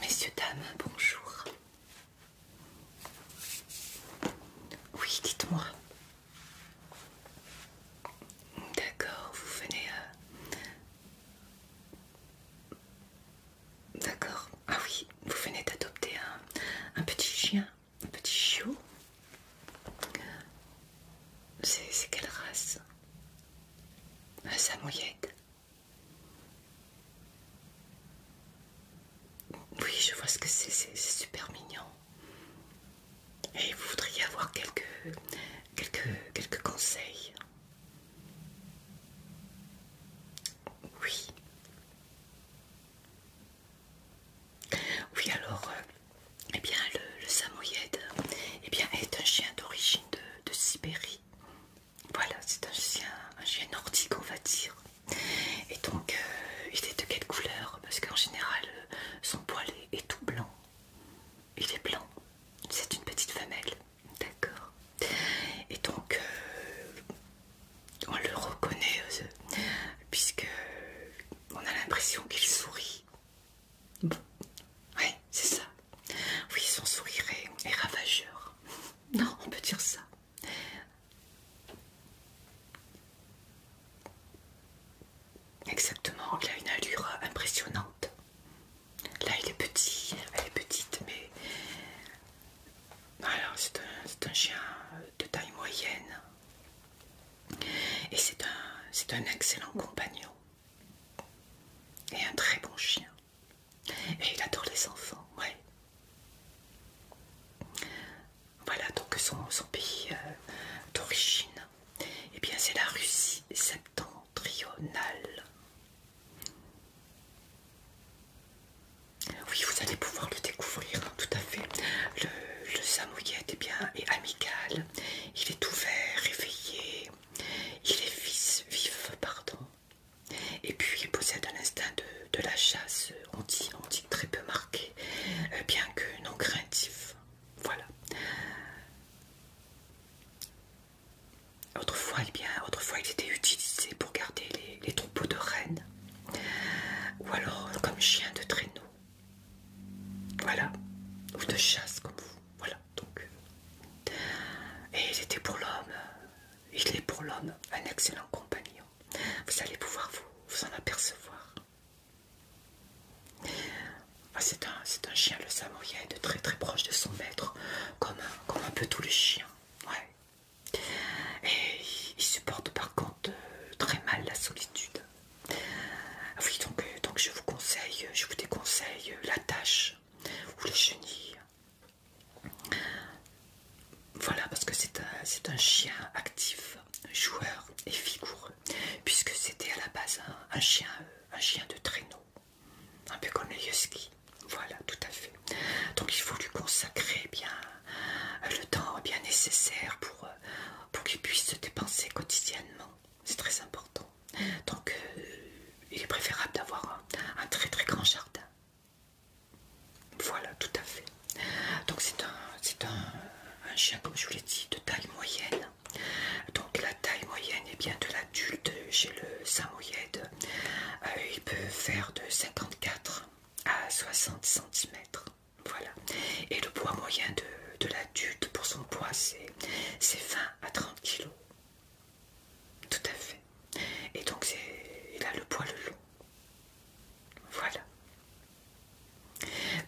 Messieurs, dames, bonjour. Oui, dites-moi. D'accord, vous venez euh, D'accord. Ah oui, vous venez d'adopter un, un petit chien, un petit chiot. C'est quelle race un Samoyed Oui, je vois ce que c'est, c'est super mignon. Et vous voudriez avoir quelques, quelques, quelques conseils Oui. Oui, alors, euh, eh bien, le, le eh bien, est un chien d'origine de, Sibérie. Voilà, c'est un chien, un chien nordique, on va dire. Et donc, euh, il est de quelle couleur Parce qu'en général, euh, son poil est, tout blanc. Il est blanc. C'est une petite femelle. D'accord. Et donc, euh, on le reconnaît, puisque on a l'impression qu'il sourit. Oui, c'est ça. Oui, son sourire est, ravageur. Non, on peut dire ça. Exactement, il a une allure impressionnante. Là, il est petit, elle est petite, mais alors c'est un, chien de taille moyenne et c'est un excellent compagnon. Et un très bon chien. Et il adore les enfants, Voilà donc son, pays euh, d'origine. Et eh bien c'est la Russie septentrionale. Oui, vous allez pouvoir le découvrir, hein, tout à fait. Le, le eh est bien et amical. Il est ouvert, réveillé. Il est fils vif, pardon. Et puis il possède un instinct de, la chasse, on dit, très peu marqué, euh, bien que non craintif. Voilà. Eh autrefois, il était utilisé pour garder les, troupeaux de rennes ou alors comme chien de traîneau. Voilà. Ou de chasse comme vous. Voilà et il était pour l'homme, il est pour l'homme un excellent compagnon. Vous allez pouvoir vous, en apercevoir. Ah, c'est un, chien, le samoyède, très très proche de son maître, comme un, peu tous les chiens. Et il supporte par contre euh, très mal la solitude. Ah oui, donc, euh, donc je vous conseille, je vous déconseille euh, la tâche ou les chenilles. Voilà, parce que c'est un, chien actif, joueur et vigoureux, puisque c'était à la base un, chien, euh, un chien de traîneau, un peu comme le Voilà, tout à fait. Donc il faut lui consacrer bien euh, le temps bien nécessaire pour euh, qu'il puisse se dépenser quotidiennement. C'est très important. Donc, euh, il est préférable d'avoir un, très très grand jardin. Voilà, tout à fait. Donc, c'est un, chien, comme je vous l'ai dit, de taille moyenne. Donc, la taille moyenne est bien de l'adulte chez le Samoyed. Euh, il peut faire de 54 à 60 cm. Voilà. Et le poids moyen de, de l'adulte pour son poids, c'est 20 à 30 kg. Tout à fait. Et donc il a le poil long. Voilà.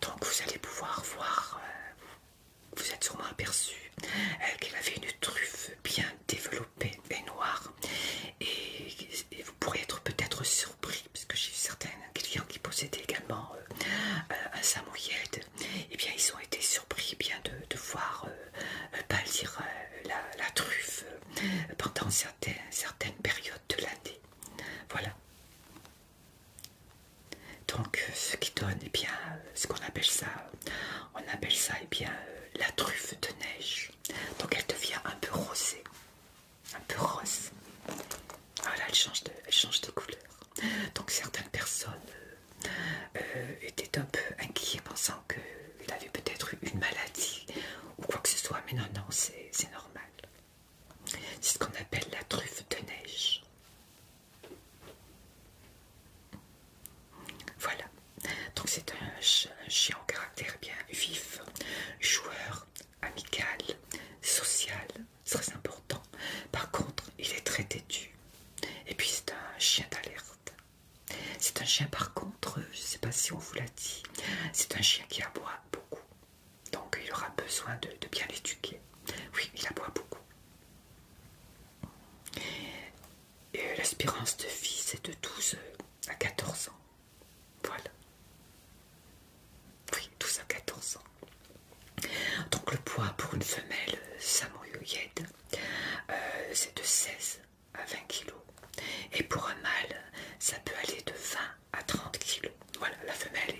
Donc vous allez pouvoir voir, euh, vous, êtes sûrement aperçu euh, qu'il avait une truffe bien développée et noire. Et, vous pourrez être peut-être surpris, parce que j'ai eu certains clients qui possédaient également euh, un et eh bien ils ont été surpris bien de, voir euh, euh, pâlir euh, la, truffe pendant certaines périodes de l'année. Voilà. Donc ce qui donne eh bien ce qu'on appelle ça, on appelle ça eh bien la truffe de neige. Donc elle devient un peu rosée, un peu rose. Voilà, elle change de couleur. Donc certaines personnes euh, euh, étaient un peu inquiets pensant qu'il avait peut-être une maladie ou quoi que ce soit. Mais non, non, c'est normal. C'est ce qu'on appelle la truffe de neige. Voilà. Donc c'est un, un chien au caractère bien vif, joueur, amical, social, très important. Par contre, il est très têtu. Et puis c'est un chien d'alerte. C'est un chien par contre, je ne sais pas si on vous l'a dit, c'est un chien qui aboie beaucoup. Donc il aura besoin de, bien l'éduquer. Oui, il aboie beaucoup. Et L'espérance de vie, c'est de 12 à 14 ans. Voilà. Oui, 12 à 14 ans. Donc le poids pour une femelle euh, samoyoyède, euh, c'est de 16 à 20 kg. Et pour un mâle, ça peut aller de 20 à 30 kg. Voilà, la femelle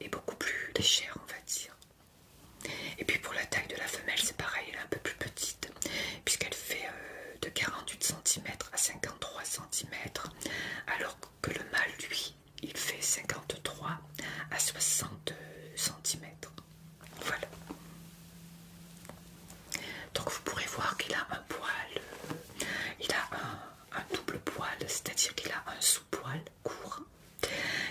est, beaucoup plus légère, on va dire. Et puis pour la taille de la femelle, c'est pareil, elle est un peu plus petite, puisqu'elle fait euh, de 48 cm à 53 cm, alors que le mâle, lui, il fait 53 à 60 cm. Voilà. Donc vous pourrez voir qu'il a un poil, il a un, un double poil, c'est-à-dire qu'il a un sous-poil court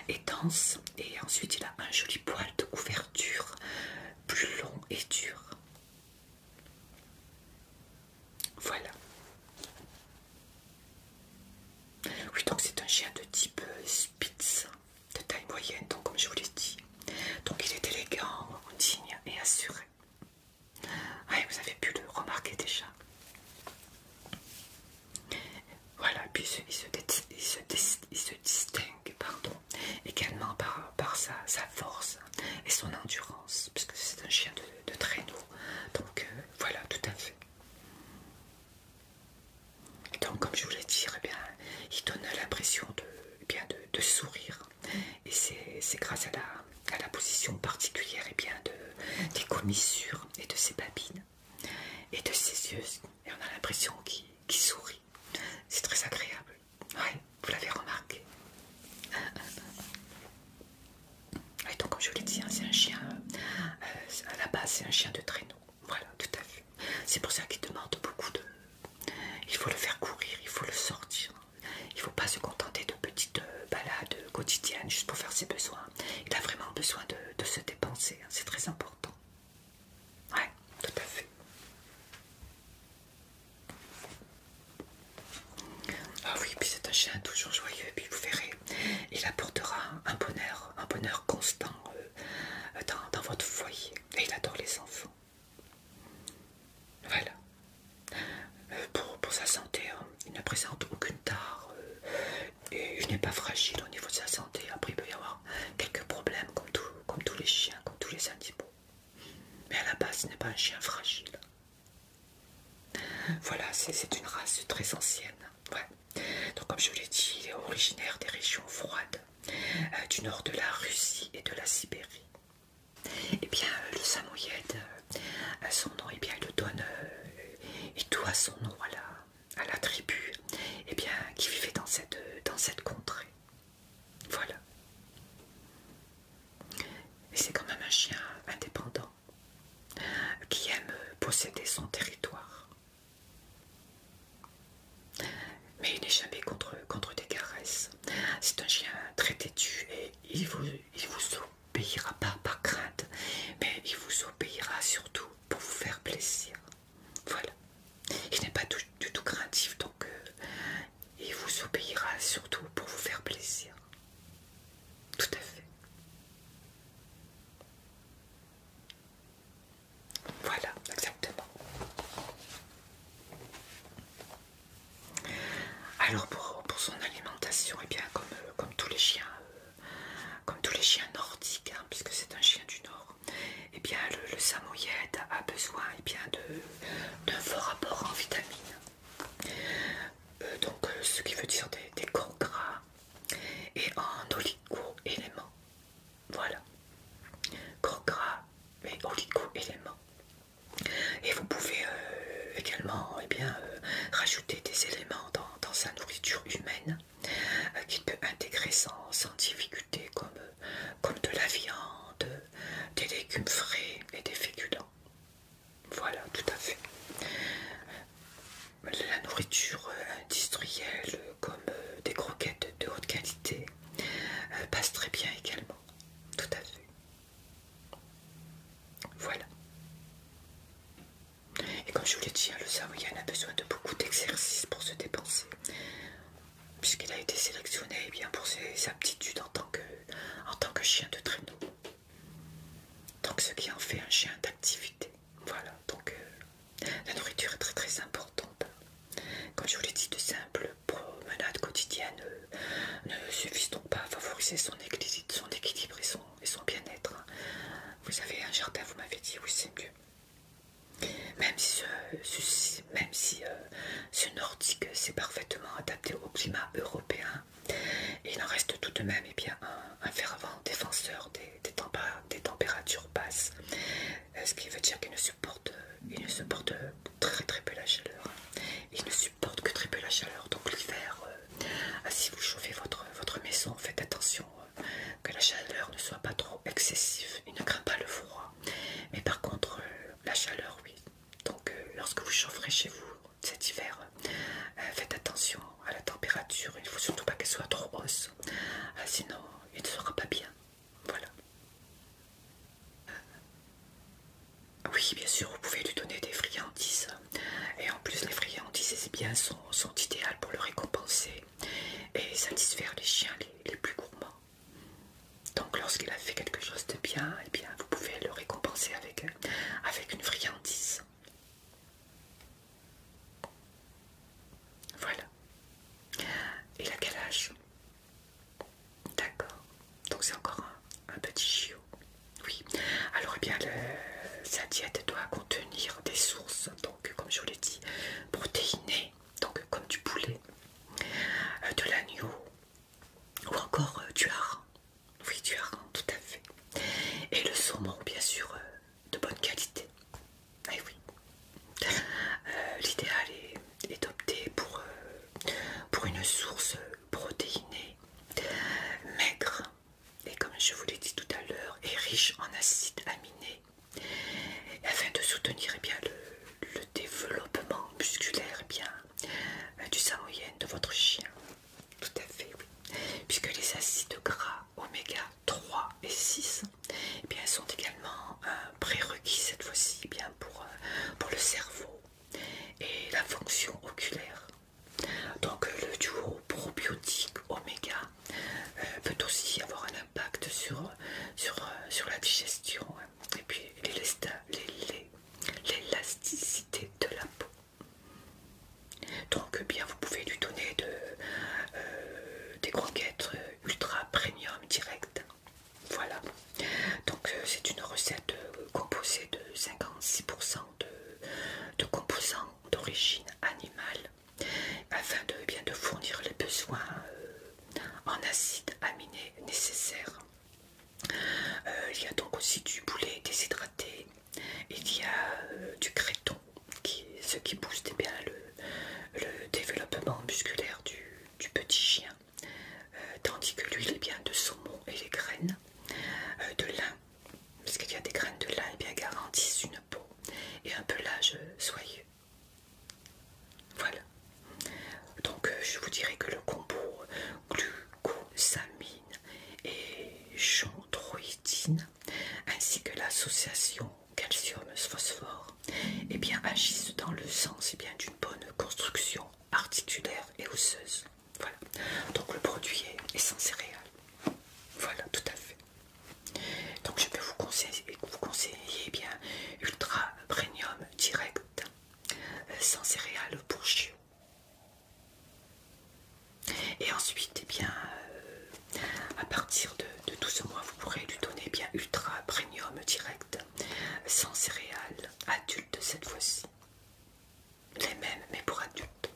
et dense, et ensuite il a un joli poil de couverture plus long et dur. Voilà. Oui, donc c'est un chien de type euh, Spitz de taille moyenne, donc comme je vous l'ai dit. Donc il est élégant, digne et assuré. Ah, vous avez pu le remarquer déjà. Voilà, puis il se, distingue pardon, également par, sa, force et son endurance, puisque c'est un chien de, traîneau. Donc euh, voilà, tout à fait. Donc, comme je vous l'ai dit, eh bien, il donne l'impression de, eh bien, de, sourire. Et c'est grâce à la, à la position particulière eh bien, de, des commissures et de ses babines et de ses yeux. Et on a l'impression qu'il sourit. C'est très agréable. vous l'avez remarqué. Et donc, comme je vous l'ai dit, hein, c'est un chien, euh, à la base, c'est un chien de traîneau. Voilà, tout à fait. C'est pour ça qu'il demande beaucoup de... Il faut le faire courir, il faut le sortir. Il ne faut pas se contenter de petites euh, balades quotidiennes juste pour faire ses besoins. Il a vraiment besoin de, se dépenser, hein. c'est très important. Ouais, tout à fait. Ah oui, puis c'est un chien toujours joyeux, puis vous verrez, il apportera un bonheur, un bonheur constant euh, dans, votre foyer. Et il adore les enfants. Voilà. Euh, pour, sa santé, hein, il ne présente aucune tare euh, et il n'est pas fragile au niveau de sa santé. Après, il peut y avoir quelques problèmes comme, comme tous les chiens, comme tous les animaux. Mais à la base, ce n'est pas un chien fragile. Voilà, c'est une race très ancienne. Donc, comme je vous l'ai dit, il est originaire des régions froides euh, du nord de la Russie et de la Sibérie. Et eh bien, euh, le samoyède, euh, son nom, et eh bien, il le et tout son nom à la, tribu, eh bien, qui vivait dans cette contrée. Voilà. Et c'est quand même un chien indépendant qui aime posséder son territoire. Mais il n'est jamais contre, des caresses. C'est un chien très têtu et il vous, il vous obéira pas par crainte, mais il vous obéira surtout pour vous faire plaisir. Voilà. Il n'est pas du, tout craintif, donc euh, il vous obéira surtout pour vous faire plaisir. Tout à fait. Voilà, exactement. Alors pour, son alimentation, eh bien euh, comme, tous les chiens, nordiques, hein, puisque c'est un chien du nord, eh bien le, a besoin eh bien d'un fort apport en vitamines. Euh, donc euh, ce qui veut dire des, des corps gras et en oligo-éléments. Voilà. gros gras et oligo éléments. Et vous pouvez euh, également et eh bien, euh, rajouter des éléments dans, sa nourriture humaine euh, qui qu'il peut intégrer sans, difficulté comme, comme de la viande, des légumes frais et des féculents. Voilà, tout à fait la nourriture euh, industrielle euh, comme euh, des croquettes de haute qualité passe très bien également. Tout à fait. Voilà. Et comme je vous l'ai dit, hein, le Savoyen a besoin de beaucoup d'exercices pour se dépenser. Puisqu'il a été sélectionné eh bien, pour ses aptitudes en tant, que, en tant que chien de traîneau. Donc ce qui en fait un chien d'activité. Voilà, donc euh, la nourriture est très très importante. Quand je vous l'ai dit, de simples promenades quotidiennes euh, ne suffisent donc pas à favoriser son, équilibre et son, bien-être. Hein. Vous avez un jardin, vous m'avez dit, oui c'est mieux. Même si, même si euh, ce nordique s'est parfaitement adapté au climat européen, il en reste tout de même eh bien, un fervent défenseur des des, températures basses, euh, ce qui veut dire qu'il ne il ne supporte très très peu la chaleur. Il ne supporte que très peu la chaleur. Donc l'hiver, euh, ah, si vous chauffez votre, votre maison, faites attention euh, que la chaleur ne soit pas trop excessive. Il ne craint pas le froid. Mais par contre, la chaleur, oui. Donc lorsque vous chaufferez chez vous cet hiver, faites attention à la température. Il ne faut surtout pas qu'elle soit trop hausse. Ah, sinon, il ne sera pas bien. Voilà. Euh, oui, bien sûr, vous pouvez lui donner des friandises. Et en plus, les friandises, c'est bien, sont, idéales pour le récompenser et satisfaire les chiens les, plus gourmands. Donc, lorsqu'il a fait quelque chose de bien, eh bien vous pouvez le récompenser avec, avec une friandise. Voilà. et la calage. D'accord. Donc c'est encore un, petit chiot. Oui. Alors eh bien sa diète doit contenir des sources, donc comme je vous l'ai dit, protéinées, donc comme du poulet, euh, de l'agneau ou encore euh, du hareng. Oui, du hareng, tout à fait. Et le saumon, bien sûr, euh, de bonne qualité. Et eh oui, euh, l'idéal est, d'opter pour, euh, pour une source protéinée, maigre et comme je vous l'ai dit tout à l'heure, est riche en acides aminés afin de soutenir eh bien, le, développement musculaire eh euh, du bien, du de votre chien. Tout à fait, oui. Puisque les acides gras oméga 3 et 6 sont également un euh, prérequis cette fois-ci eh bien pour, euh, pour le cerveau et la fonction oculaire. Donc euh, le duo probiotique oméga peut aussi avoir un impact sur, sur, la digestion hein, et puis l'élasticité de la peau. Donc bien vous pouvez lui donner de, euh, des croquettes euh, ultra premium direct. Voilà. Donc euh, c'est une recette composée de 56% de, composants d'origine animale afin de bien de fournir les besoins en acides aminés nécessaires. il y a donc aussi du boulet déshydraté, il y a du créton, ce qui booste bien le, développement musculaire du, petit chien, euh, tandis que l'huile est bien de saumon et les graines euh, de lin, parce qu'il y a des graines de lin, et eh bien garantissent une peau et un pelage soyeux. Voilà. Donc euh, je vous dirais que le combo glucosamine et chondroïtine, ainsi que l'association calcium, phosphore et bien, agissent dans le sens et bien d'une bonne construction articulaire et osseuse. Voilà. Donc le produit est, sans céréales. Voilà, tout à fait. Donc je peux vous conseiller, vous eh bien Ultra Premium Direct euh, sans céréales pour chiot. Et ensuite, et eh bien, euh, à partir de, tout ce mois, vous pourrez lui donner bien ultra premium direct, sans céréales, adulte cette fois-ci. Les mêmes, mais pour adultes.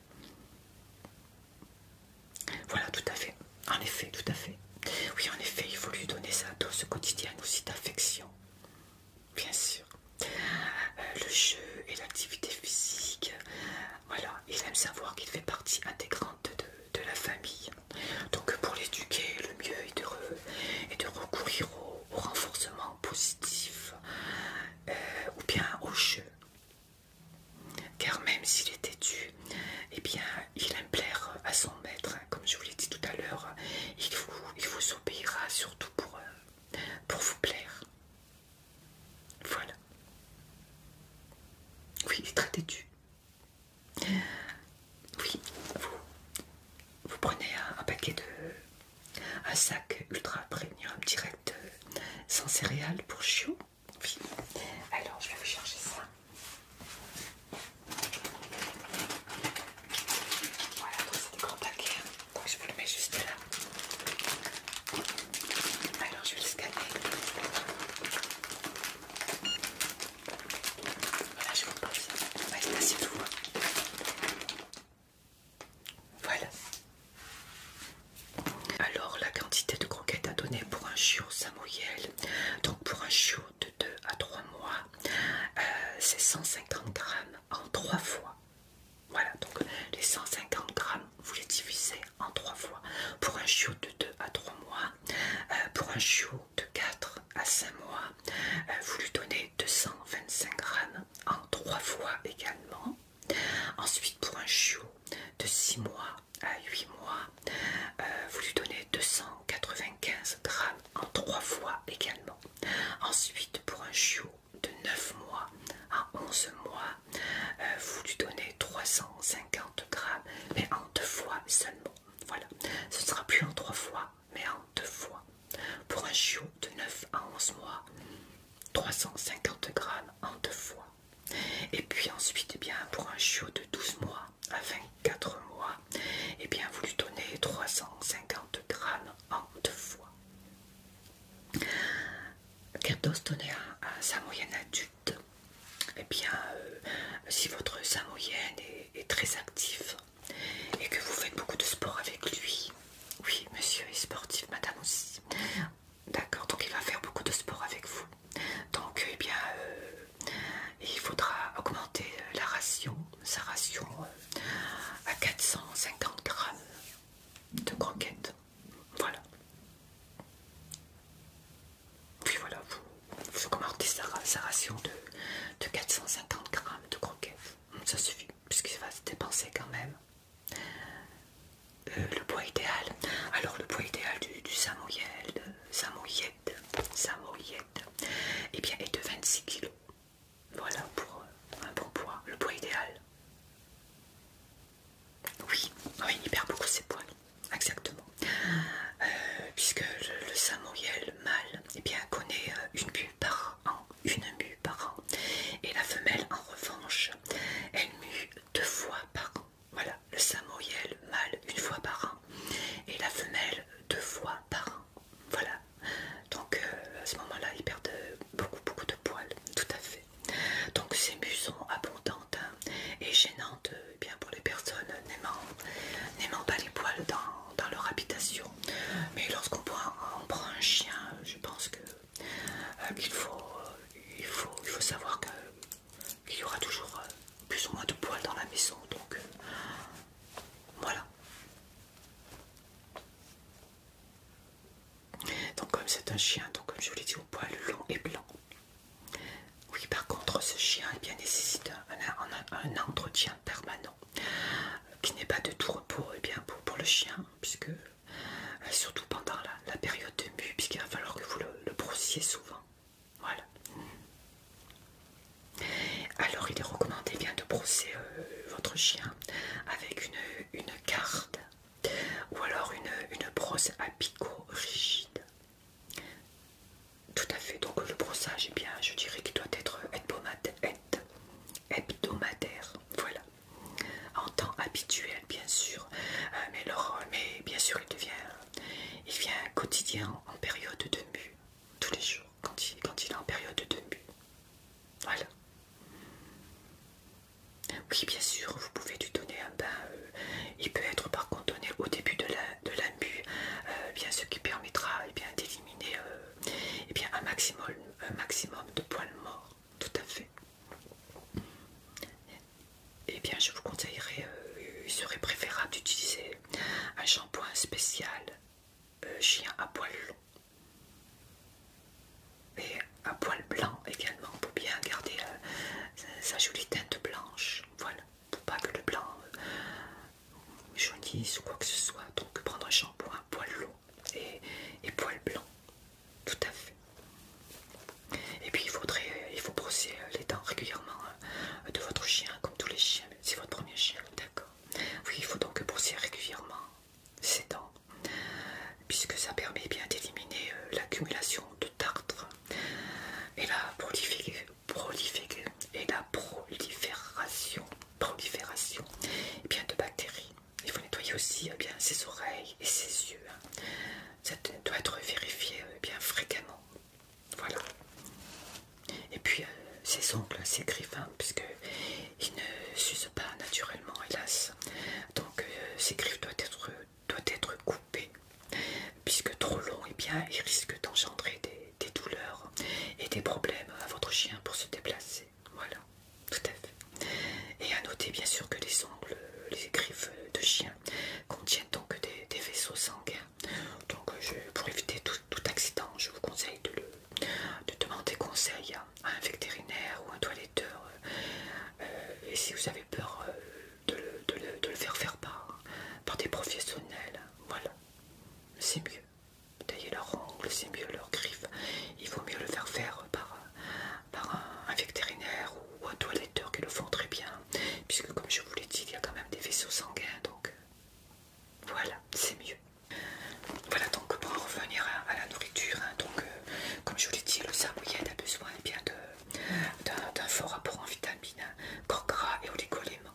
Voilà, tout à fait. En effet, tout à fait. Oui, en effet, il faut lui donner sa ce quotidien, aussi d'affection. Bien sûr. Euh, le jeu et l'activité physique, voilà, il aime savoir qu'il fait partie intégrante de, la famille. Donc pour l'éduquer, le mieux est de, de recourir au, renforcement positif euh, ou bien au jeu. Car même s'il est têtu, eh bien, il aime plaire à son maître. Comme je vous l'ai dit tout à l'heure, il vous, obéira surtout pour, euh, pour vous plaire. Voilà. Oui, il est très têtu. Oui, vous, prenez un, paquet de. un sac ultra premium direct euh, sans céréales pour chiot. alors je vais vous chercher ça. Voilà, donc c'est des grands paquets. Hein. Donc je vous le mets juste là. Alors je vais le scanner. Voilà, je vous passe. On va de tout. Hein. Voilà. Alors, la quantité de croquettes à donner pour un chiot samoyel, donc pour un chiot de 2 à 3 mois, euh, c'est 150 grammes en 3 fois. Voilà, donc les 150 grammes, vous les divisez en 3 fois. Pour un chiot de 2 à 3 mois, euh, pour un chiot de 4 à 5 mois, euh, vous lui donnez 225 grammes en 3 fois également. Ensuite, pour un chiot de 6 mois à 8 mois, euh, vous lui donnez 295 grammes en 3 fois également. Ensuite, pour un chiot de 9 mois à 11 mois, vous lui donnez 350 grammes, mais en deux fois seulement. Voilà, ce sera plus en trois fois, mais en deux fois. Pour un chiot de 9 à 11 mois, 350 grammes en deux fois. Et puis ensuite, eh bien, pour un chiot de 12 mois à 24 mois, et eh bien, vous lui donnez 350 grammes en deux fois. Quel dose à, sa moyenne adulte eh bien, euh, si votre samoyenne est, très actif, et que vous faites beaucoup de sport avec lui, oui, monsieur est sportif, madame aussi, d'accord, donc il va faire beaucoup de sport avec vous, donc, eh bien, euh, il faudra augmenter la ration, sa ration euh, à 450 grammes de croquettes, voilà. Puis voilà, vous, vous commandez sa, ration de, de 450 grammes de croquettes. Hum, ça suffit, puisqu'il va se dépenser quand même. Euh, le poids idéal. Alors le poids idéal du, du samoyed, samoyed, eh bien est de 26 kilos, Voilà pour euh, un bon poids, le poids idéal. Oui, oui ah, il perd beaucoup ses poils, exactement. Euh, puisque le, samouriel mâle eh bien, connaît euh, une mue par an, une mue par an. Et la femelle, en revanche, elle mue deux fois par an. Voilà, le samouriel mâle une fois par an et la femelle deux fois par an. Voilà, donc euh, à ce moment-là, il perd beaucoup, beaucoup de poils, tout à fait. Donc ces mues sont abondantes hein, et gênantes eh pour les personnes n'aimant pas les poils dans, leur habitation. Mais lorsqu'on prend, un chien, je pense que euh, qu'il euh, faut, il faut, savoir qu'il y aura toujours euh, plus ou moins de poils dans la maison. Donc voilà. Donc comme c'est un chien, donc comme je vous l'ai dit, au poil long et blanc. Oui, par contre, ce chien eh bien, nécessite un, entretien permanent euh, qui n'est pas de tout repos eh bien, pour, le chien, puisque euh, surtout pendant la, période de mue, puisqu'il va falloir que vous le, brossiez souvent. Voilà. Alors, il est recommandé eh de brosser euh, votre chien avec une, carte ou alors une, une brosse à picot rigide. Tout à fait, donc le brossage, eh bien, je dirais qu'il doit être hebdomadaire, voilà, en temps habituel, bien sûr, euh, mais, mais bien sûr, il devient, il vient quotidien en période de mue, tous les jours, quand il, est en période de mue, voilà. Oui, bien sûr, vous pouvez lui donner un bain euh, il peut être par contre donné au début de la, de euh, bien, ce qui permettra eh bien d'éliminer euh, eh bien un maximum, maximum de poils morts. Tout à fait. Et eh bien, je vous conseillerais, euh, il serait préférable d'utiliser un shampoing spécial chien à poils longs et à poils blancs également pour bien garder sa jolie teinte blanche. Voilà pour pas que le blanc euh, jaunisse ou quoi que ce soit. Donc prendre un shampoing poil long et, et poil blanc, tout à fait. Et puis il faudrait, euh, faut brosser euh, les dents régulièrement de votre chien, comme tous les chiens, c'est votre premier chien, d'accord. Oui, il faut donc brosser régulièrement ses dents, puisque ça permet bien d'éliminer l'accumulation de tartre et la prolifération prolifération eh bien de bactéries. Il faut nettoyer aussi eh bien, ses oreilles et ses yeux. Hein. Ça doit être vérifié eh bien fréquemment. Voilà. Et puis euh, ses ongles, hein, ses griffes, hein, puisqu'ils ne s'usent pas naturellement, hélas. Donc euh, ses griffes doivent être doit être coupé, puisque trop long, et eh bien, il risque d'engendrer des, douleurs et des problèmes à votre chien pour se déplacer. Voilà, tout à fait. Et à noter bien sûr que les ongles, les griffes de chien contiennent donc des, vaisseaux sanguins. Donc euh, pour éviter tout, accident, je vous conseille de, demander conseil à un vétérinaire ou un toiletteur. Euh, et si vous avez peur euh, de, le, de, le, faire faire par, par des professionnels. Voilà, c'est mieux. Tailler leurs ongles, c'est mieux leur griffes Il vaut mieux le faire faire par, par un, vétérinaire ou un toiletteur qui le font très bien. Puisque comme je vous l'ai dit, il y a quand même des vaisseaux sanguins. Donc euh, voilà, c'est mieux. Voilà donc pour en revenir à, la nourriture. Hein, donc euh, comme je vous l'ai dit, le il a besoin bien de euh, d'un fort rapport en vitamines, corps gras et oligoléments.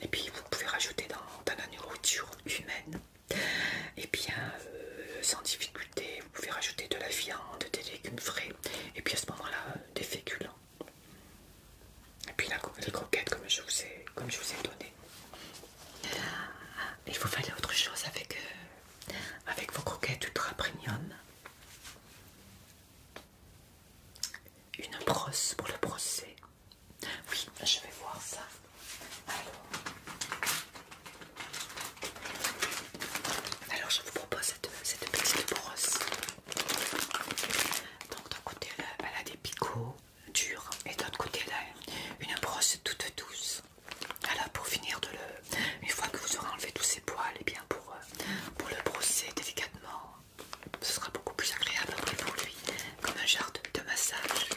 Et puis vous pouvez rajouter dans, la nourriture humaine. Et bien euh, sans difficulté, vous pouvez rajouter de la viande, des légumes frais, et puis à ce moment-là, euh, des féculents. Et puis la, les croquettes comme je vous ai, comme je vous ai donné. Ah, il vous fallait autre chose avec, avec vos croquettes ultra premium une brosse pour le brosser. Oui, je vais voir ça. Alors, je vous propose cette, petite brosse. Donc d'un côté elle a, des picots durs et d'autre côté une brosse toute douce. Alors pour finir de le, euh, une fois que vous aurez enlevé tous ces poils, et eh bien euh, pour, le brosser délicatement, ce sera beaucoup plus agréable après pour lui, comme un genre de, massage.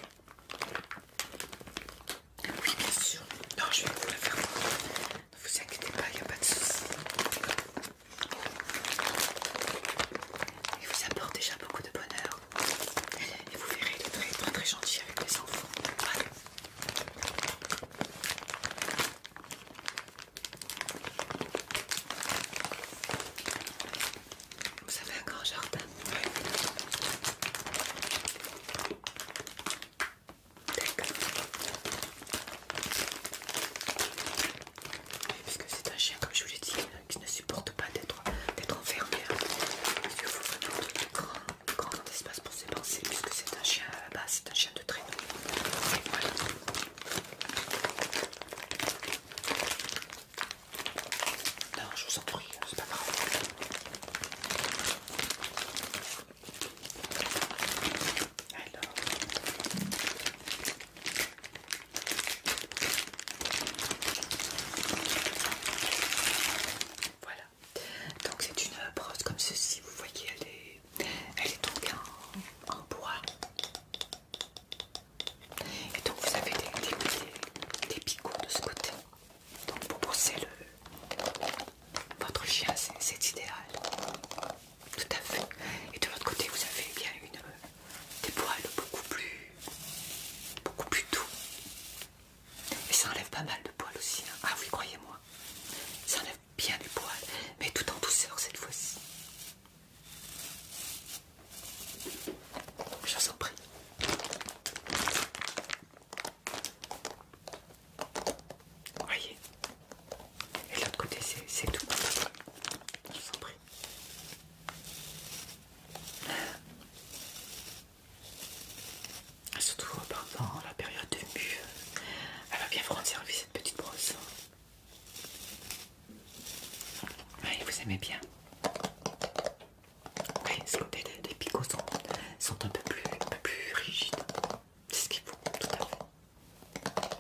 Oui, bien sûr. Non, je vais vous le faire voir. Ne vous inquiétez pas, il n'y a pas de souci. Il vous apporte déjà beaucoup de bonheur. Et vous verrez, il est très très, gentil avec les enfants. Vous avez un grand jardin D'accord. parce que c'est un chien, comme je vous l'ai dit, qui ne supporte pas d'être enfermé. Il faut qu'on de, de, grand, grand espace pour ses pensées, puisque c'est un chien à la c'est de traîneau. voilà. Non, je vous en prie, c'est pas grave. Alors. Voilà. Donc c'est une brosse comme ceci, vous voyez, elle est elle est donc en, bois. Et donc vous avez des, picots de ce côté. Donc pour pousser le, votre chien, c'est idéal. Tout à fait. Et de l'autre côté, vous avez bien une, des poils beaucoup plus, beaucoup plus doux. Et ça enlève pas mal de poils aussi. Hein. Ah oui, croyez-moi. Ça enlève bien du poil, mais tout en douceur cette fois-ci. Je vous en prie. voyez Et de l'autre côté, c'est tout. Je vous en prie. Surtout euh, pendant la période de mue, elle va bien prendre service petite brosse. vous aimez bien. les picots sont, un, peu plus, rigides. C'est ce qu'il faut, tout à fait.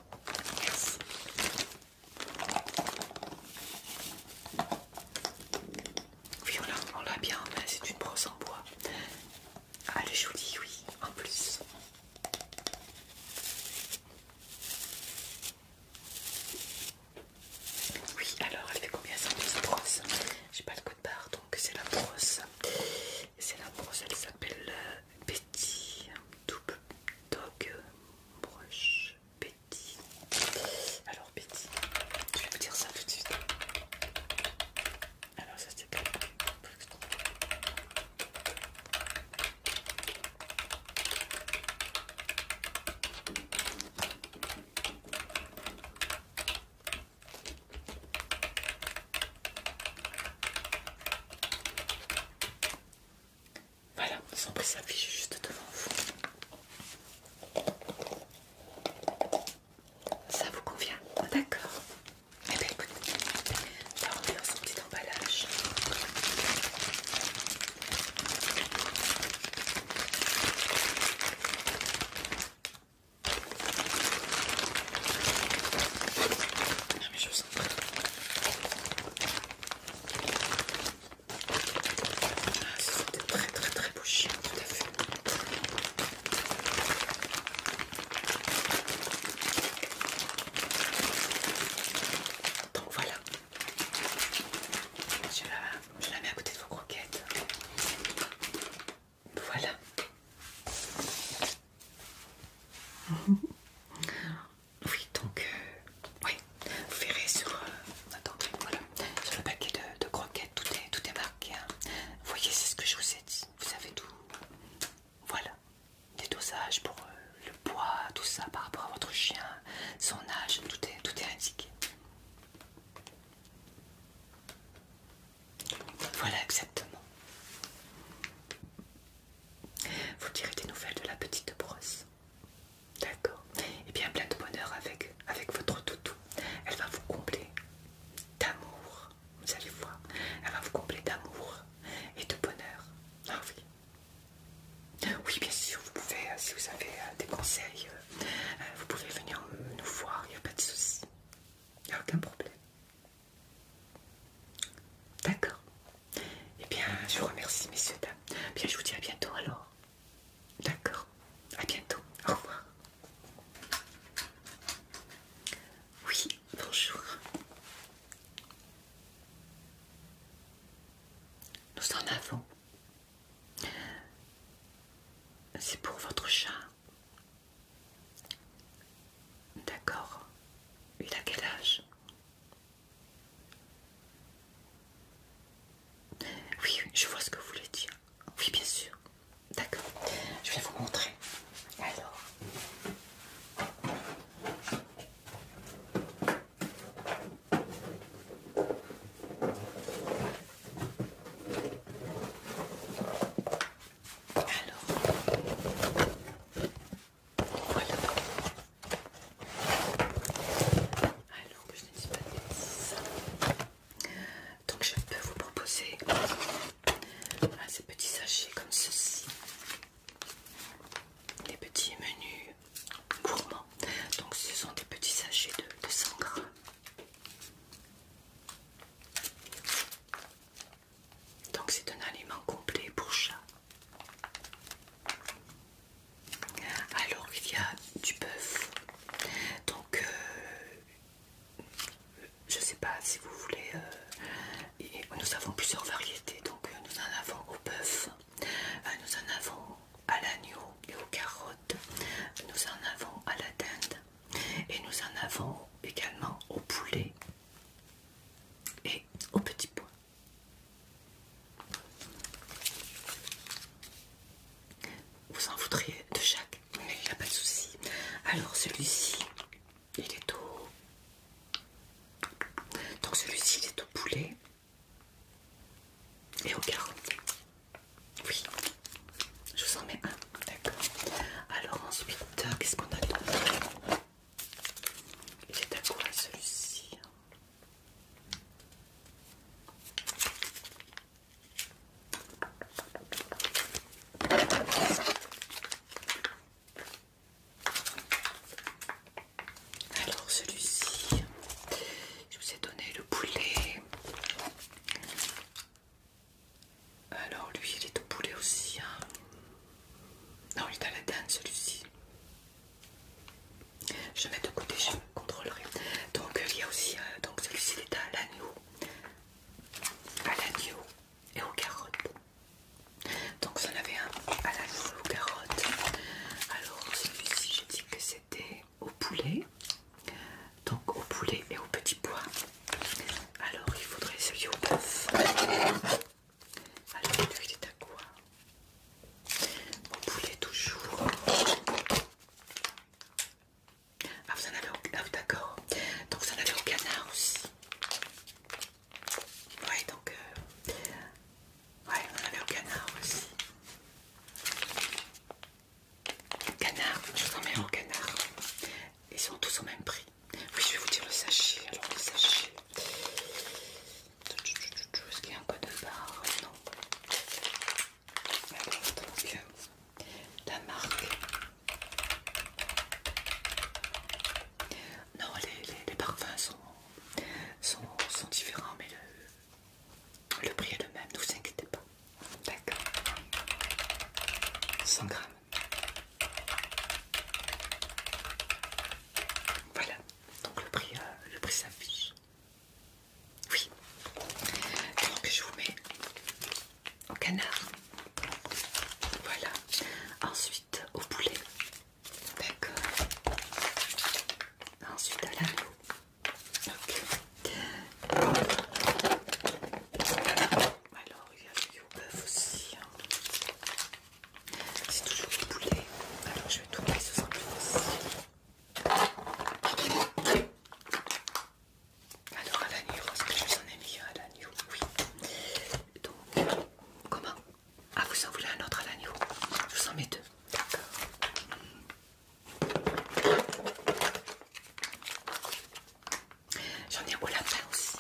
on l'a bien c'est une brosse en bois. Ah, le joli, oui, en plus. Oui, alors elle fait combien ça cette brosse J'ai pas le code barre donc c'est la brosse. C'est la brosse, elle s'appelle Betty euh, Double Dog Brush Betty. Alors Betty, je vais vous dire ça tout de suite. Alors ça c'est voilà, sans sa fiche juste devant vous. Ça vous convient D'accord. Eh bien écoute, là on est dans son petit emballage. Ah mais je sens pas. Ah, ce sont des très très très beaux chiens, tout à fait. Donc voilà, je la, mets à côté de vos croquettes. Voilà. Oui, donc, euh, oui, vous verrez sur, euh, le paquet de, croquettes, tout est, marqué. Hein. Vous voyez, c'est ce que je vous ai dit. Vous savez tout, voilà, des dosages pour euh, le poids, tout ça par rapport à votre chien, son âge, tout est, indiqué. Voilà exactement. Vous tirez des nouvelles de la petite brosse. D'accord. Et eh bien plein de bonheur avec, avec votre toutou. Elle va vous combler d'amour, vous allez voir. Elle va vous combler d'amour et de bonheur. Ah oui. Oui, bien sûr, vous pouvez, euh, si vous avez euh, des conseils, euh, vous pouvez venir nous voir, il n'y a pas de souci. Il n'y a aucun problème. D'accord. Eh bien, je vous remercie, messieurs, dames. Bien, je vous dis à bientôt alors. D'accord. À bientôt. Au revoir. Oui, bonjour. Nous en avons. C'est pour votre chat. D'accord. Il a quel âge Oui, je vois ce que vous voulez dire. Oui, bien sûr. D'accord. Je vais vous montrer. Alors, alors, voilà. Alors que je ne dis pas de bêtises. Donc je peux vous proposer ces petits sachets comme ceci. Les petits menus gourmands. Donc ce sont des petits sachets de, de Donc c'est un aliment complet pour chat. Alors il y a du bœuf. Donc euh, je sais pas si vous voulez. Euh, nous avons plusieurs variétés. Donc euh, nous en avons au bœuf, euh, nous en avons à l'agneau et aux carottes, nous en avons à la dinde et nous en avons également au poulet et au petit pois. Vous en voudriez de chaque, mais il n'y a pas de souci. Alors celui-ci, il est au... Donc celui-ci, il est au poulet et au caron. Oui, je vous en mets un. D'accord. Alors ensuite, euh, qu'est-ce qu'on a d'autre Il est à quoi celui-ci alors celui-ci, je vous ai donné le poulet. Alors lui il est au poulet aussi. Hein. Non il est à la dinde celui-ci. Je mets de côté, je contrôlerai. Donc il y a aussi, euh, donc celui-ci il est à l'agneau. À l'agneau et aux carottes. Donc ça en avait un à la noix aux carottes. Alors celui-ci j'ai dit que c'était au poulet. Donc au poulet et au petit pois. Alors il faudrait celui au bœuf. Alors celui-là il est à quoi Au poulet toujours. Ah vous en avez au... Ah, d'accord. Donc vous en avez au canard aussi. Ouais, donc, euh, ouais, on avait au canard aussi. Canard, je vous mets au canard. Ils sont tous au même prix. Oui, je vais vous dire le sachet. Alors, le sachet. Est-ce qu'il y a un code barre Non. donc, la marque non, les, parfums sont, différents, mais le, le prix est le même, ne vous inquiétez pas. D'accord 100 grammes. Voilà, donc le prix, euh, le prix s'affiche. Oui, donc je vous mets au canard. Voilà. Ensuite au poulet. D'accord. Ensuite à l'agneau. Ok. Alors il y a le bœuf aussi. Hein. C'est toujours du poulet. Alors je vais tout mettre ce aussi. Alors à l'agneau, est-ce que je vous en ai mis à l'agneau Oui comment Ah, vous en voulez un autre à l'agneau Je vous en mets deux. D'accord. J'en ai un au lapin aussi.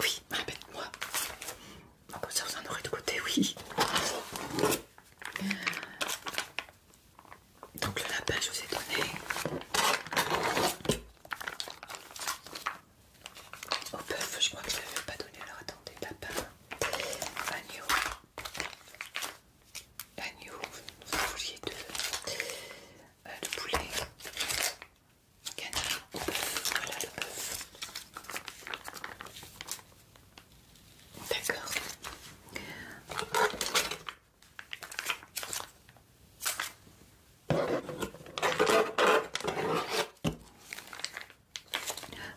Oui, répète moi. Ah, comme ça, vous en aurez de côté, oui. Donc le lapin, je vous ai donné. Oh, Au bœuf, je crois que je ne l'avais pas donné. Alors attendez, papa. agneau, agneau, vous vouliez de, de euh, poulet, canard, voilà le bœuf. D'accord.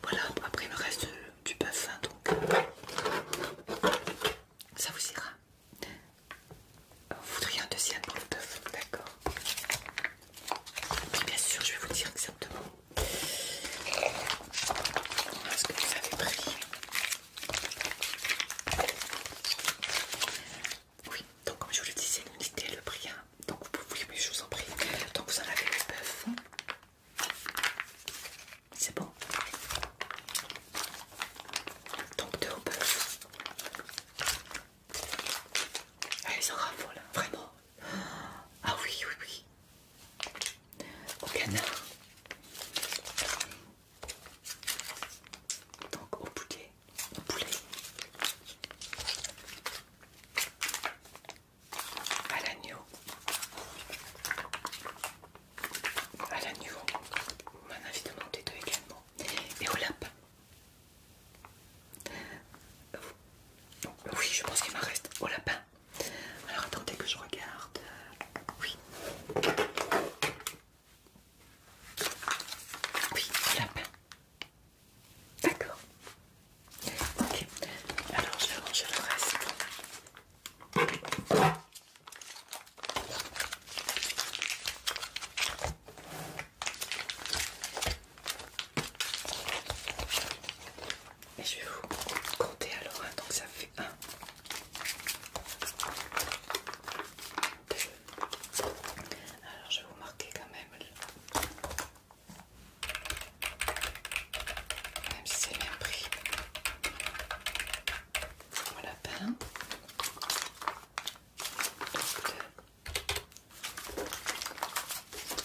Voilà, après il me reste du bœuf, hein, donc euh, ça vous ira. Vous voudriez un deuxième pour le bœuf, d'accord bien sûr, je vais vous dire exactement ce que vous avez pris. Oui, donc comme je vous le disais, l'unité, le prix. Hein. Donc vous pouvez, mais je vous en prie. Donc vous en avez le bœuf. C'est bon. Donc deux au bœuf. Ah, ils en hein, vraiment. Ah oui, oui, oui. Au canard donc au poulet, au poulet. à l'agneau, à l'agneau, on m'en à monter deux également, et au lapin. Oui, je pense qu'il m'en reste au lapin. Alors attendez que je regarde. Oui. Oui, la lapin. D'accord. Ok. Alors je vais ranger le reste. Et je vais vous compter alors, hein, donc ça fait un, deux, alors je vais vous marquer quand même, même si c'est bien pris. Voilà, pain.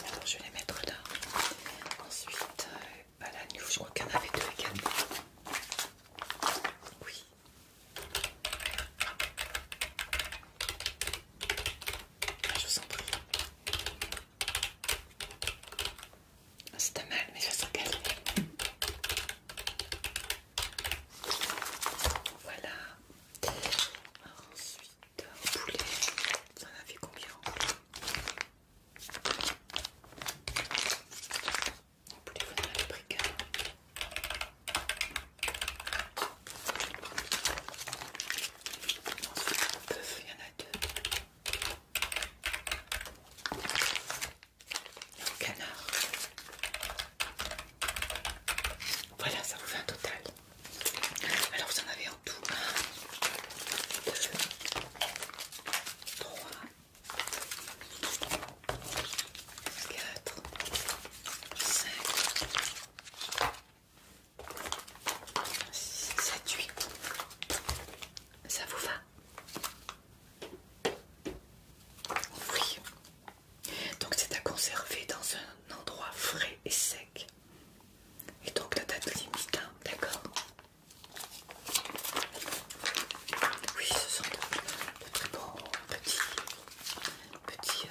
Alors je vais les mettre là. Ensuite, euh, à la je crois qu'il y en avait deux également. Oui. Ah, je sens. en prie. Ah, c'est mal, mais je se calme. Voilà. ensuite, poulet. Ça en fait combien vous pouvez venir à Ensuite, il y en a deux. canard. Voilà, ça vous fait un total. Alors, vous en avez en tout un, deux, trois, 4, 5, 6, 7, 8. Ça vous va Oui. Donc c'est à conserver dans un endroit frais et sec. Et donc la date limite, hein, d'accord Oui, ce sont de très bons petits petit,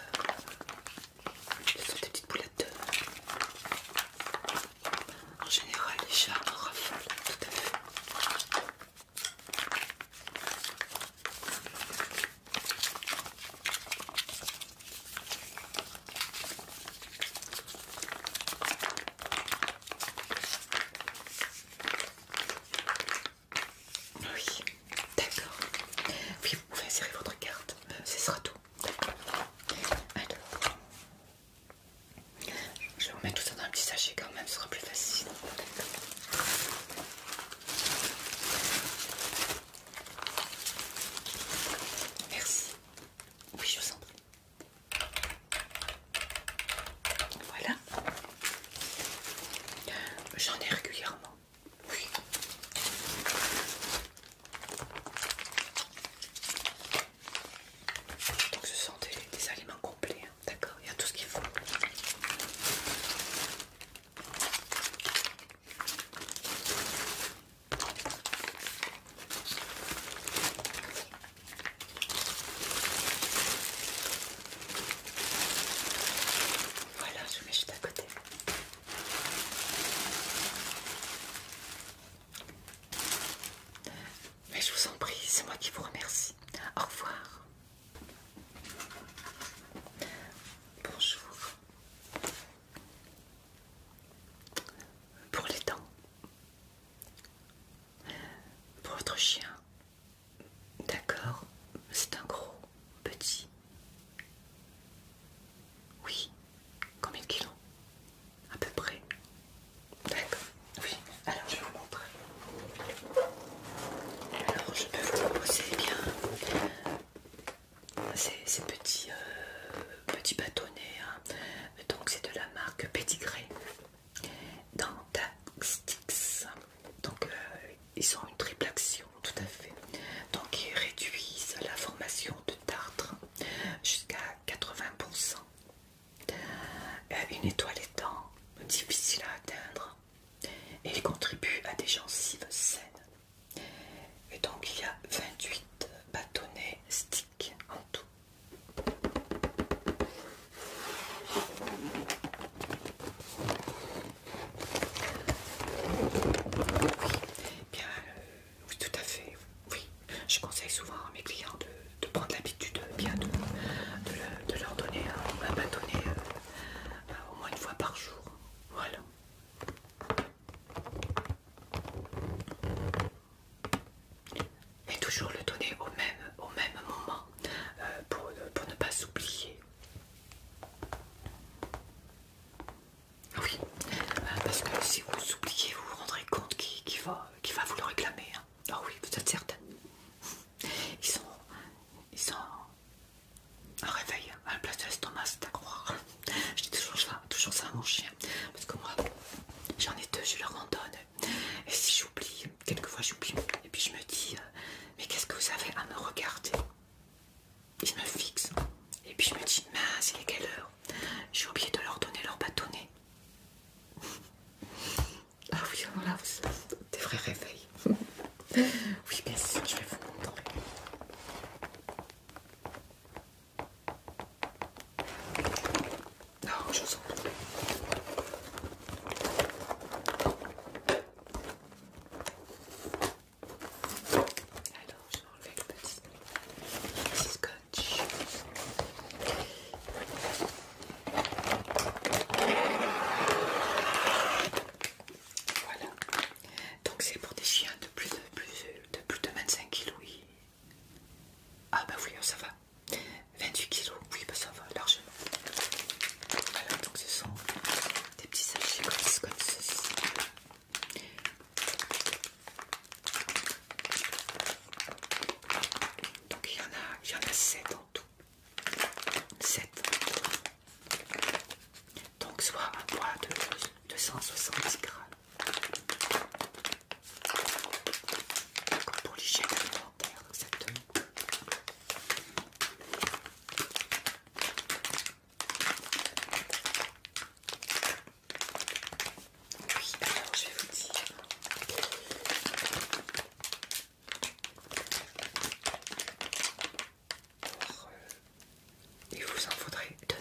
petite euh, des petites boulettes En général, les chats en raffolent, tout à fait. Oui, d'accord. Oui, vous pouvez insérer votre carte, euh, ce sera tout. D'accord. je vais vous mettre tout ça dans un petit sachet quand même, ce sera plus facile. Merci. Oui, je vous en prie. Voilà. J'en ai régulièrement. Oui. Donc ce sont des, aliments complets, hein. d'accord Il y a tout ce qu'il faut. Voilà, je vous mets juste à côté. Mais je vous en prie, c'est moi qui vous remercie. Au revoir. Bonjour. Pour les dents. Pour votre chien. D'accord, c'est un gros, petit. Oui, combien de kilos À peu près. D'accord, oui, alors je vais vous montrer. Alors je peux vous proposer eh bien ces, petits, euh, petits bâtonnets. Hein. Donc c'est de la marque Pedigree. dans sticks. Donc euh, ils ont une triple action, tout à fait. Donc ils réduisent la formation de tartre jusqu'à 80%. Euh, une étoile étant difficile à atteindre et ils contribuent à des gencives saines. Et donc il y a 28 bâtonnets sticks en tout. Oui, bien, euh, tout à fait. Oui, je conseille souvent à mes clients de, prendre l'habitude de, leur donner un, un donner euh, euh, au moins une fois par jour. Voilà. Et toujours le donner au même, au même moment pour ne pas s'oublier. Ah oui, euh, parce que si vous oubliez, vous vous rendrez compte qui, va, qui va vous le réclamer. Hein. Ah oui, vous êtes certaine. Ils sont, ils sont un réveil hein, à la place de l'estomac, c'est à croire. Je dis toujours ça, toujours ça à mon chien, parce que moi, j'en ai deux, je leur en donne. Et si j'oublie, quelquefois j'oublie. Et puis je me dis, euh, mais qu'est-ce que vous avez à me regarder Ils me fixent. Et puis je me dis, mince, il est quelle heure J'ai oublié de leur donner leur bâtonnet. Ah oui, voilà, des vrais réveils. Oui, bien sûr, je vais vous montrer. Non, je sens. Alors, je vais enlever le petit, scotch. Voilà. Donc c'est pour des chiens de plus de, plus, de 25 kg. Ah bah oui, oh, ça va. 28 kg, oui bah ça va largement. Voilà, donc ce sont des petits sachets comme, ceci. Donc il y en a, il en a 7 en tout. 7. Donc soit un poids de 270 grammes. Comme pour l'hygiène alimentaire, exactement. Oui, alors je vais vous dire. Euh, vous en faudrait deux.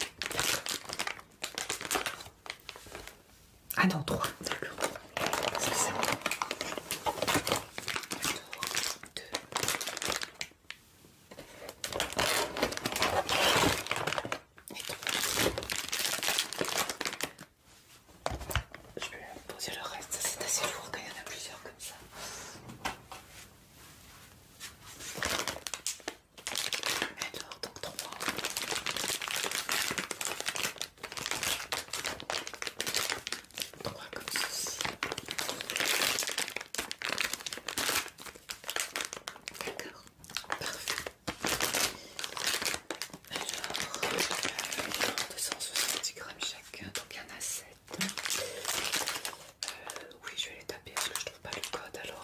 Ah non, je vais poser le reste, c'est assez lourd quand il y en a plusieurs comme ça. donc trois comme ceci. D'accord, parfait. Alors, 270 grammes chacun, donc il y en a 7. oui, je vais les taper parce que je trouve pas le code alors.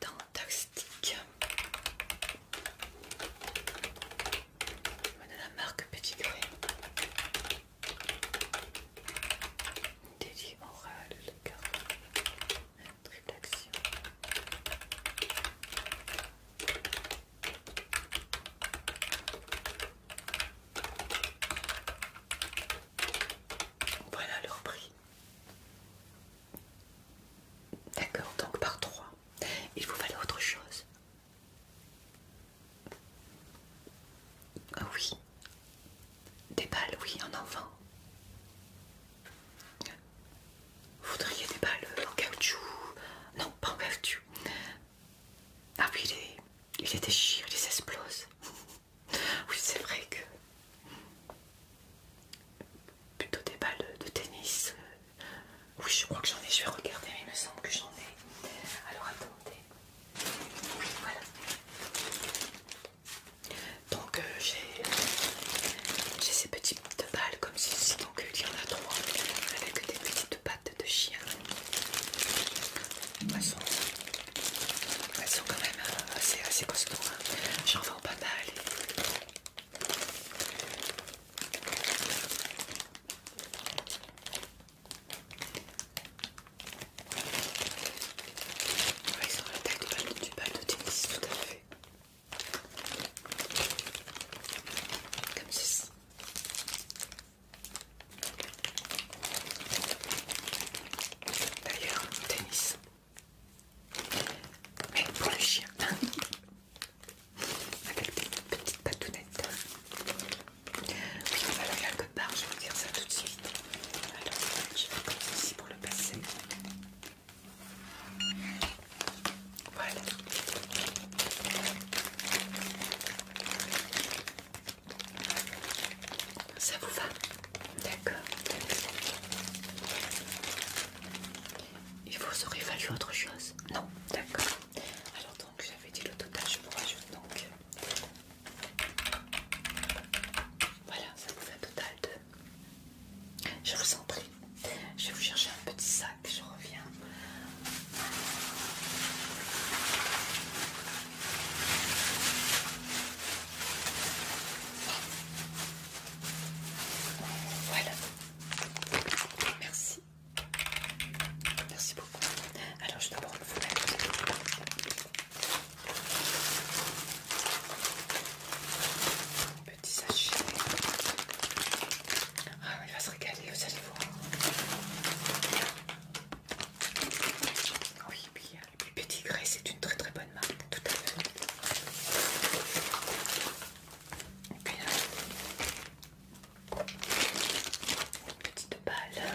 Dans tactique de la marque Petit Gré. Délit oral, les cartes, triple action. Voilà leur prix. D'accord, donc par 3. Il vous fallait autre chose. Ah Oui. Des balles, oui, en enfant. Vous voudriez des balles en caoutchouc Non, pas en caoutchouc. Ah oui, il les, il les déchire, il les explose. oui, c'est vrai que... Plutôt des balles de tennis, euh, oui, je crois que j'en ai. Je vais regarder, il me semble que j'en ai. Alors attendez. Oui, voilà. Donc euh, j'ai ces petites balles comme ceci. Donc il y en a trois avec des petites pattes de chien. Elles sont, quand même euh, assez, assez costauds. Hein. J'en vends pas mal. Il ça aurait la du bal de tennis, tout à fait. Comme ceci. D'ailleurs, tennis. Mais pour le chien. avec des petites patounettes. Oui, on va quelque part, je vais vous dire ça tout de suite. Alors, je vais comme ceci pour le passer. Voilà. Ça vous va D'accord. Il vous aurait fallu autre chose Non D'accord. Donc, j'avais dit le total je vous rajoute donc voilà ça vous fait un total de je vous en prie je vais vous chercher un petit sac je reviens voilà merci Merci beaucoup. Alors, je vais d'abord le mettre. Petit sachet. Ah, il va se régaler, vous allez voir. Oui, puis, euh, Petit Grey, c'est une très très bonne marque, tout à fait. Et puis, une petite balle. Ah,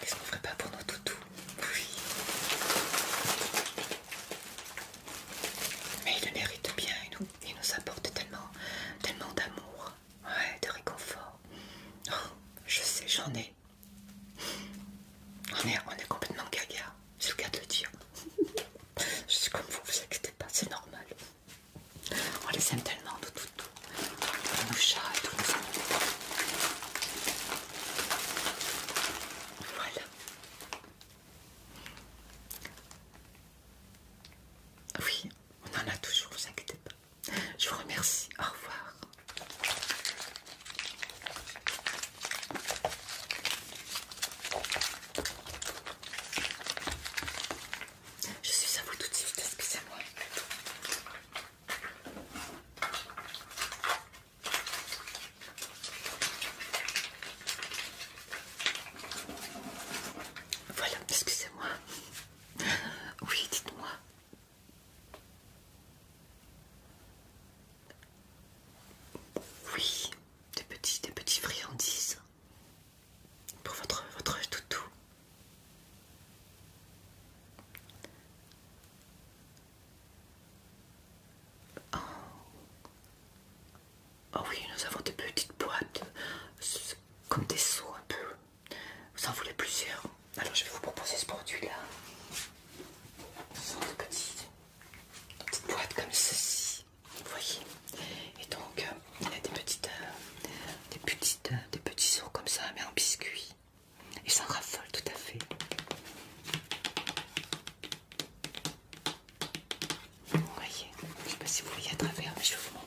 qu'est-ce qu'on ferait pas pour nos toutous Oui. Mais il le mérite bien, il nous, apporte tellement, d'amour, de réconfort. Oh, je sais, j'en ai. On est, complètement gaga, c'est le cas de le dire. Je suis comme vous, vous inquiétez pas, c'est normal. On les aime tellement, tout, tout, tout. Nos chats Voilà. Oui, on en a toujours, vous inquiétez pas. Je vous remercie, au revoir. Je suis à vous tout de suite, excusez-moi. Voilà, excusez-moi. Oui, dites-moi. Oui, des petits, des petits friandises pour votre, votre toutou. Oh. oh oui, nous avons des petites boîtes comme des seaux un peu. Vous en voulez plusieurs Alors je vais vous proposer ce produit-là. petites boîtes comme ceci. Vous voyez Et donc, euh, il a des petites, euh, des petites, euh, des petits os comme ça, mais en biscuit. Il s'en raffole tout à fait. Vous voyez Je sais pas si vous voyez à travers, mais je vais vous montrer.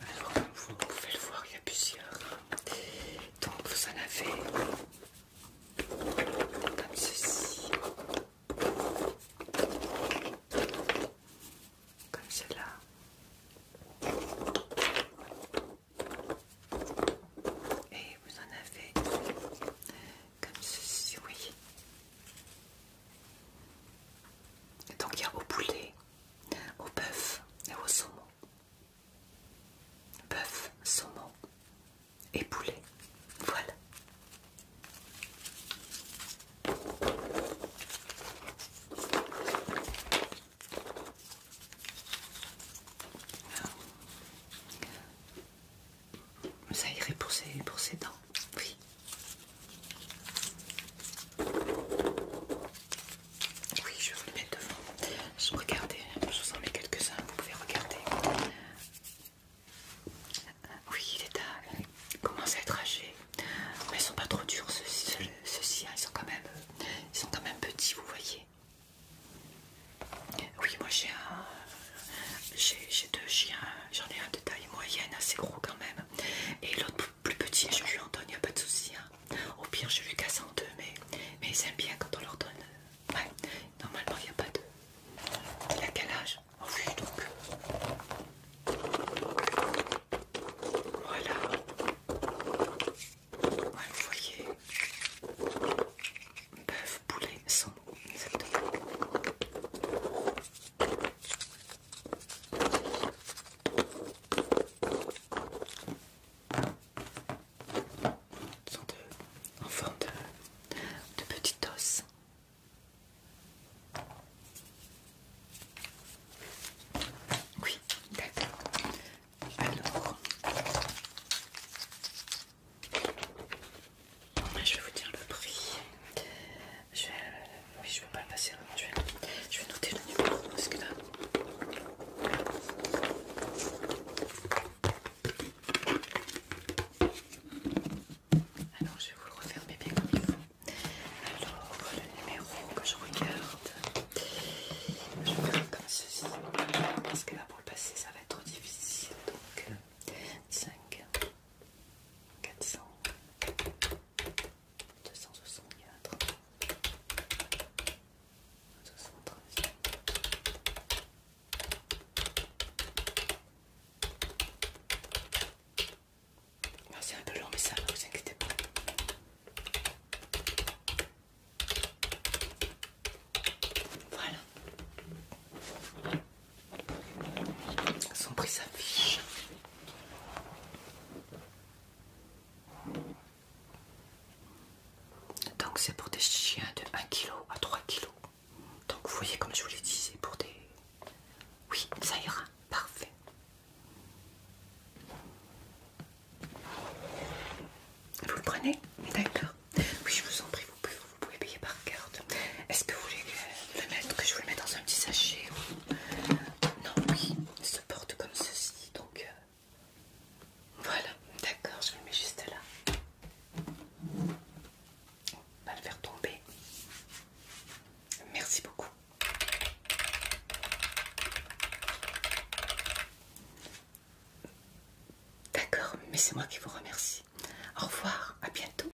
Alors, vous pouvez le voir, il y a plusieurs. Donc, vous en avez comme ceci, comme cela. Et vous en avez comme ceci, oui. Donc il y a au poulet, au bœuf et au saumon. Bœuf, saumon et poulet. Voilà ça irait pour ses, pour dents, oui. Oui, je vais vous le mettre devant. Je je vous en mets quelques-uns, vous pouvez regarder. Oui, il, est commence à être âgé. Mais ils sont pas trop durs ceux-ci, ceux hein. quand même, euh, ils sont quand même petits, vous voyez. Oui, moi j'ai un, j'ai deux chiens, j'en ai un de taille moyenne, assez gros quand même, et l'autre plus petit, je lui en donne, il n'y a pas de souci. Hein. Au pire, je lui casse en deux, mais, ils aiment bien quand on leur donne. Euh, ouais, normalement, il n'y a pas de. Il a oh, donc. Voilà. vous voyez. Bœuf, poulet, sans exactement. Ils en forme de, de petites os. Oui, d'accord. Alors, je vais vous dire le prix. Je vais, euh, oui, je ne vais pas le passer. Je vais, noter le numéro parce que là. Alors, je vais vous le refermer bien comme il faut. Alors, le numéro que je regarde, je vais faire comme ceci. Parce que là, pour le passer, ça va être trop difficile. Donc, 5, euh, 400 264 73 c'est un peu long mais ça ne vous inquiétez pas voilà son prix s'affiche. Donc c'est pour des chiens de 1 kg à 3 kg. Donc vous voyez comme je vous l'ai dit, c'est pour des... Oui, ça ira. Parfait. Vous le prenez D'accord. Oui, je vous en prie, vous pouvez vous pouvez payer par carte. Est-ce que vous voulez le, mettre, que je vous le mette dans un petit sachet Non, oui, il se porte comme ceci. Donc euh, voilà, d'accord, je vous le mets juste là. On va le faire tomber. Merci beaucoup. D'accord, mais c'est moi qui vous remercie. Au revoir, à bientôt.